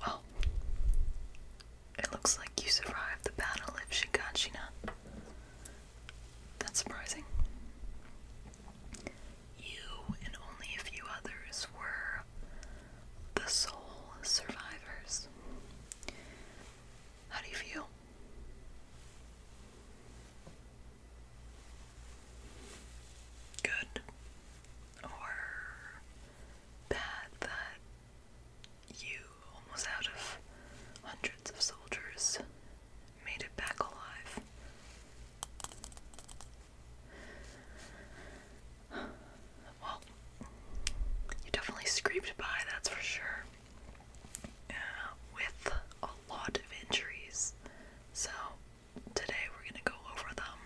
Well, it looks like you survived the battle of Shigashina. That's surprising. You and only a few others were the sole survivors. How do you feel? Good or bad that you, almost out of hundreds of soldiers, made it back alive. Well, you definitely scraped by, that's for sure, uh, with a lot of injuries. So, today we're going to go over them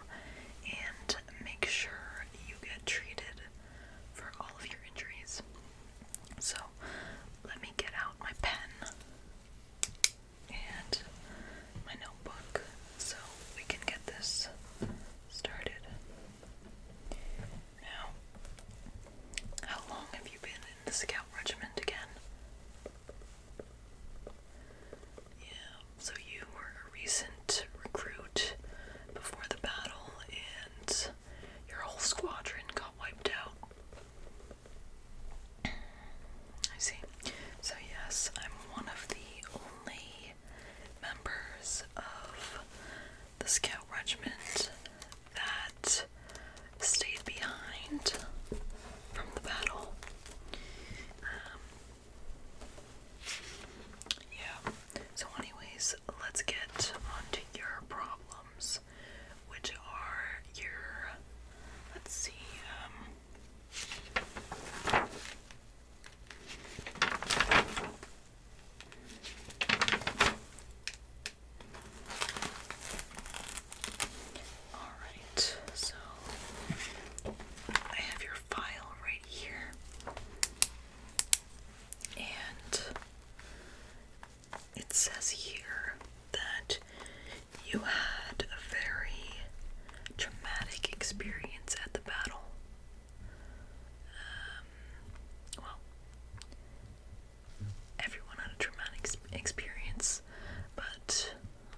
and make sure you get treated for all of your injuries. So, let me get out my pen and my notebook so we can get this started. Now, how long have you been in the scout regiment again? Yeah, so you were a recent recruit before the battle and your whole squadron got wiped out. I see. So, yes, I'm one of the only members of the scout regiment that stayed behind from the battle. Um, yeah. So, anyways, let's get on to your problems, which are your. Let's see. Um, all right, so I have your file right here. And it says here that you had a very traumatic experience at the battle. Um, well, everyone had a traumatic experience, but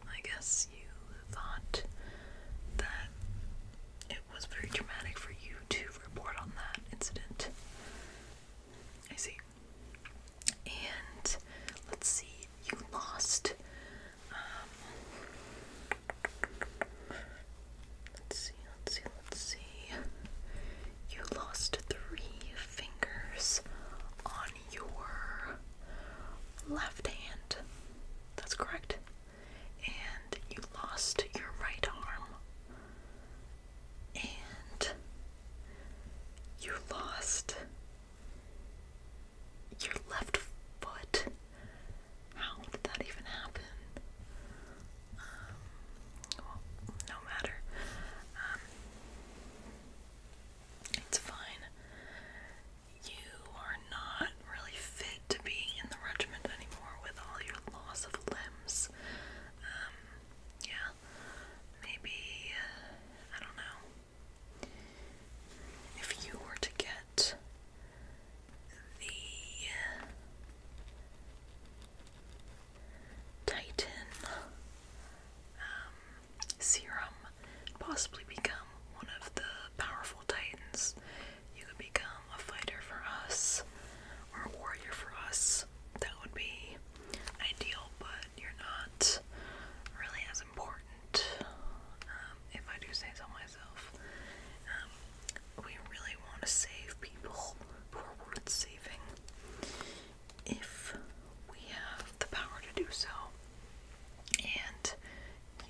I guess you thought that it was very dramatic for you to report on that incident. I see. And let's see, you lost. Um, let's see, let's see, let's see. You lost three fingers on your left hand. That's correct and you lost your right arm, and you lost your left foot. How did that even happen? Um, well, no matter. Um, it's fine you are not really fit to be in the regiment anymore with all your loss of limbs. Um, yeah, maybe, uh, I don't know. If you were to get the uh, Titan um, serum, possibly become one of the powerful Titans, you could become a fighter for us or a warrior for us, that would be ideal, but you're not really as important, um, if I do say so myself. Um, we really want to save people who are worth saving if we have the power to do so. And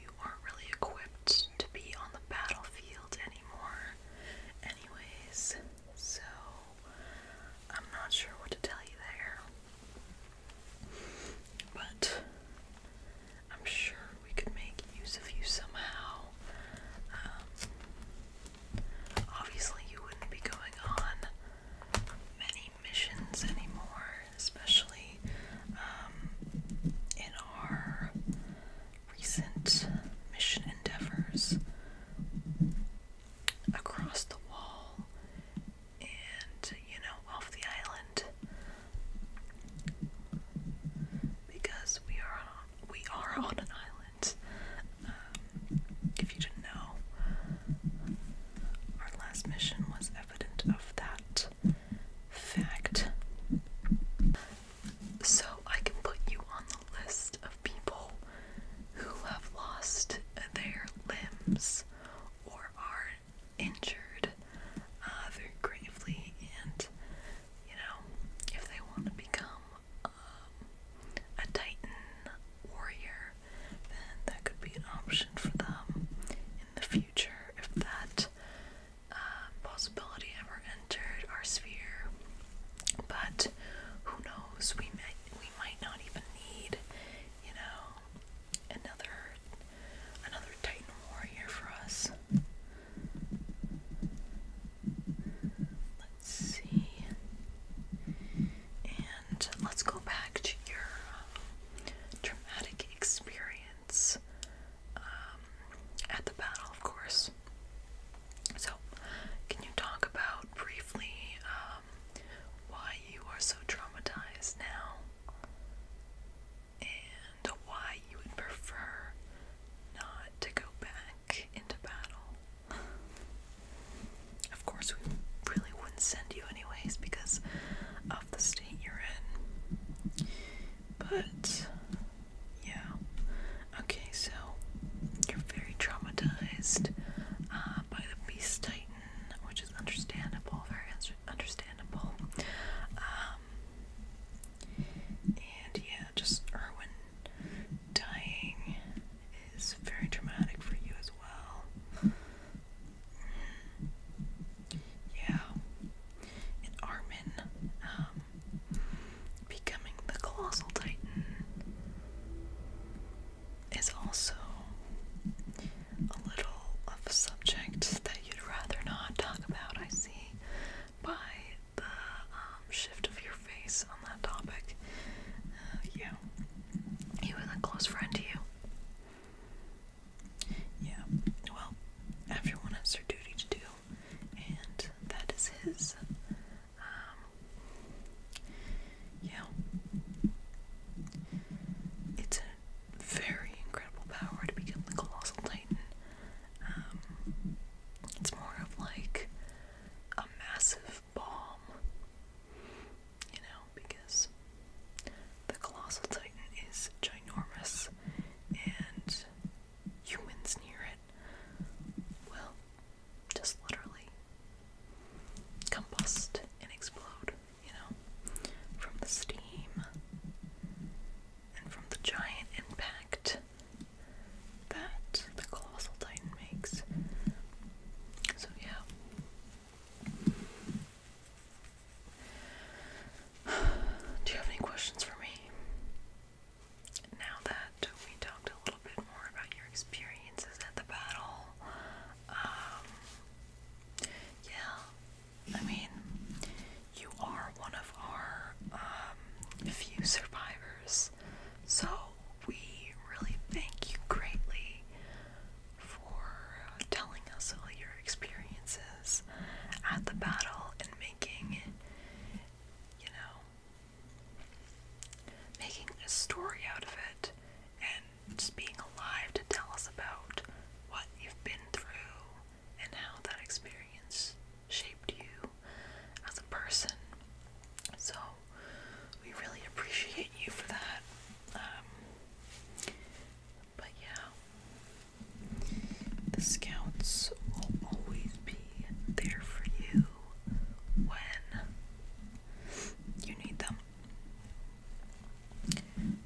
you aren't really equipped to be on the battlefield anymore, anyways. So, I'm not sure what to tell you there. But I'm sure we could make use of you somehow. Um, obviously, you wouldn't be going on many missions anymore, especially um, in our recent mission endeavors across the wall and, you know, off the island because we are on, we are on an island. Um, if you didn't know, our last mission was evident of that fact so I can put you on the list of people who have lost their limbs or are injured uh, very gravely, and you know, if they want to become um, a titan warrior, then that could be an option for them in the future if that uh, possibility ever entered our sphere. But who knows? We might we might not even need, you know, another another Titan warrior for us. Let's see. And let's go back to your um, traumatic experience um, at the battle, of course. So, can you talk about briefly um, why you are so traumatized now and why you would prefer not to go back into battle? Of course, we really wouldn't send you, anyways, because of the state you're in. But yeah. Okay, so you're very traumatized uh, by the Beast Titan, which is understandable, very understandable. Um, and yeah, just Erwin dying is very traumatic for you as well. Yeah. And Armin, um, becoming the Colossal Titan is also a little a subject that you'd rather not talk about, I see, by the um, shift of your face on that topic. yeah. He was a close friend to you. Yeah. Well, everyone has their duty to do, and that is his. Um, yeah, it's a very incredible power to become the Colossal Titan. Um, it's more of like a massive bomb, you know, because the Colossal Titan is ginormous and humans near it will just literally combust and explode, you know, from the steam and from the giant impact that the colossal titan makes. So, yeah. Do you have any questions for me? Now that we talked a little bit more about your experiences at the battle, um, yeah, I mean, you are one of our um, few survivors, so we really thank you greatly for telling us all your experiences at the battle and making you know, making a story out of it and just being alive to tell us about what you've been through and how that experience shaped you as a person. So, we really appreciate you for that. Um, but yeah, the scouts will always be there for you when you need them.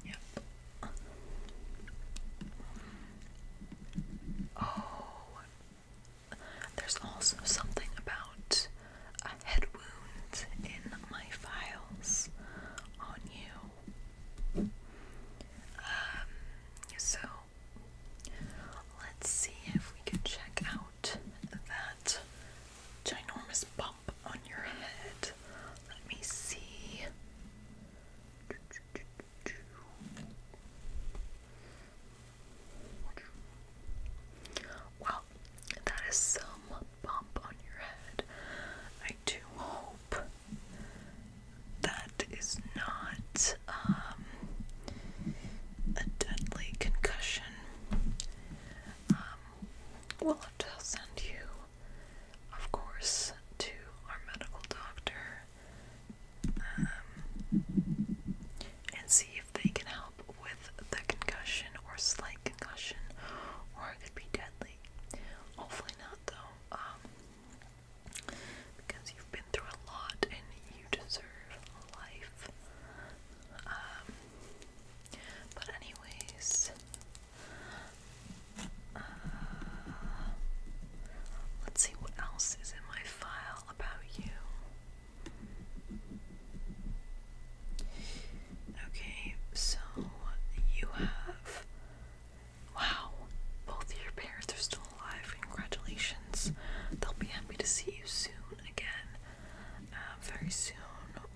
Yep. Oh, there's also something about a head wound in my files on you. Um, so let's see if we can check out that ginormous bump on your head. Let me see. Well, that is some bump on your head. I do hope that is not um, a deadly concussion. Um, we'll have to send you, of course, to our medical doctor um, and see if they can help with the concussion or slight concussion, or it could be deadly. Hopefully not, though because you've been through a lot and you deserve life. Um, but anyways, uh, let's see what else is in my file about you. Okay, so you have Wow, both your parents are still alive. Congratulations. They'll be happy to see you soon again. Uh, very soon,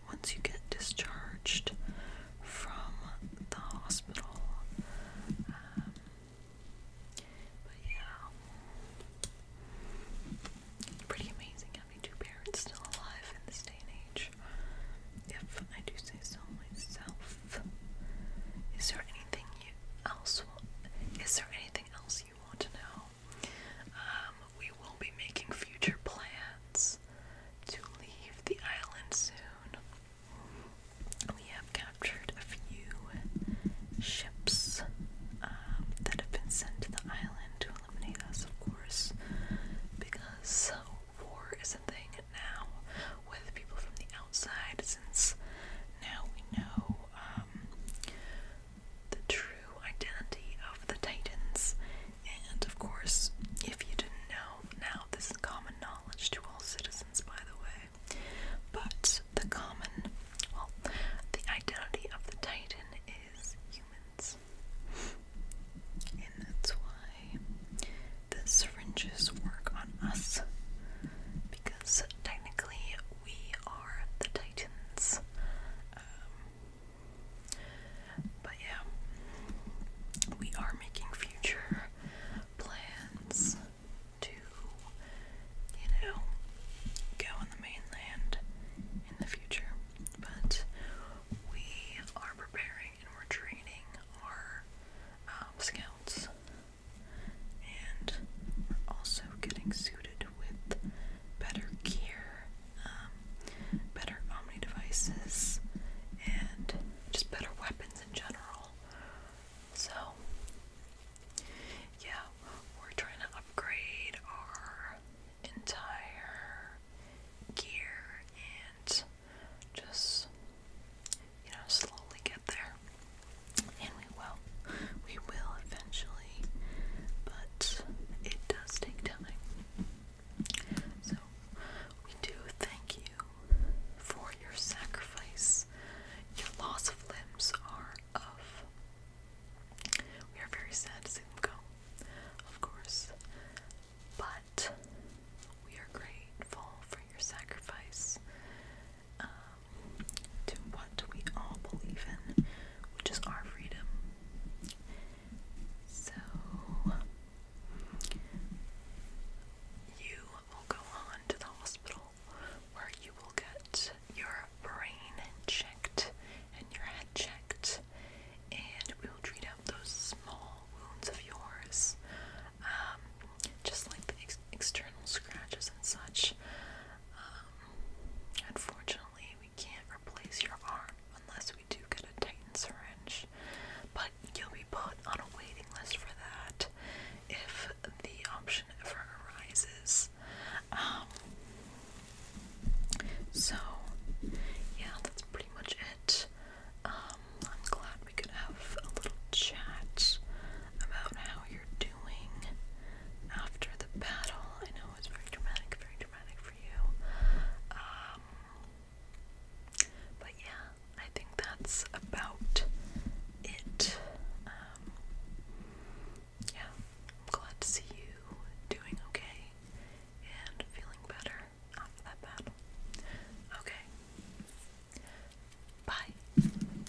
once you get discharged from the hospital. Um, but yeah, pretty amazing having two parents still alive in this day and age. If I do say so myself. Is there anything you else? Is there anything else you want to know? Um, we will be making future plans to leave the island soon. We have captured a few ships um, that have been sent to the island to eliminate us, of course, because war is a thing now with people from the outside since now we know um, the true identity of the Titans. And of course, if you didn't know, now this is common knowledge to all citizens, by the way. But the common, well, the identity of the Titan is humans. And that's why the syringes work on us. Because technically we are the Titans. Um, but yeah, we are making future plans to, you know, go on the mainland in the future. But we are preparing and we're training our um, scouts and we're also getting suited with better gear, um, better Omni devices, and just better weapons in general. So, yeah, we're trying to upgrade our entire gear and just, you know, slowly get there and we will. We will eventually, but it does take time. So, we do thank you for your sacrifice. Your loss of limbs are of. We are very sad to see them go, of course, but we are grateful for your sacrifice um, to what we all believe in, which is our freedom. So, you will go on to the hospital where you will get your brain checked and your head checked, and we will treat out those small wounds of yours. Um, just like the external scratches and such. Um, unfortunately, we can't replace your arm unless we do get a Titan syringe, but you'll be put on a waiting list for that if the option ever arises. Um, so, yeah, that's pretty much it. Um, I'm glad we could have a little chat about how doing after the battle. I know it's very dramatic, very dramatic for you. Um, but yeah, I think that's about it. Um, yeah, glad to see you doing okay and feeling better after that battle. Okay. Bye.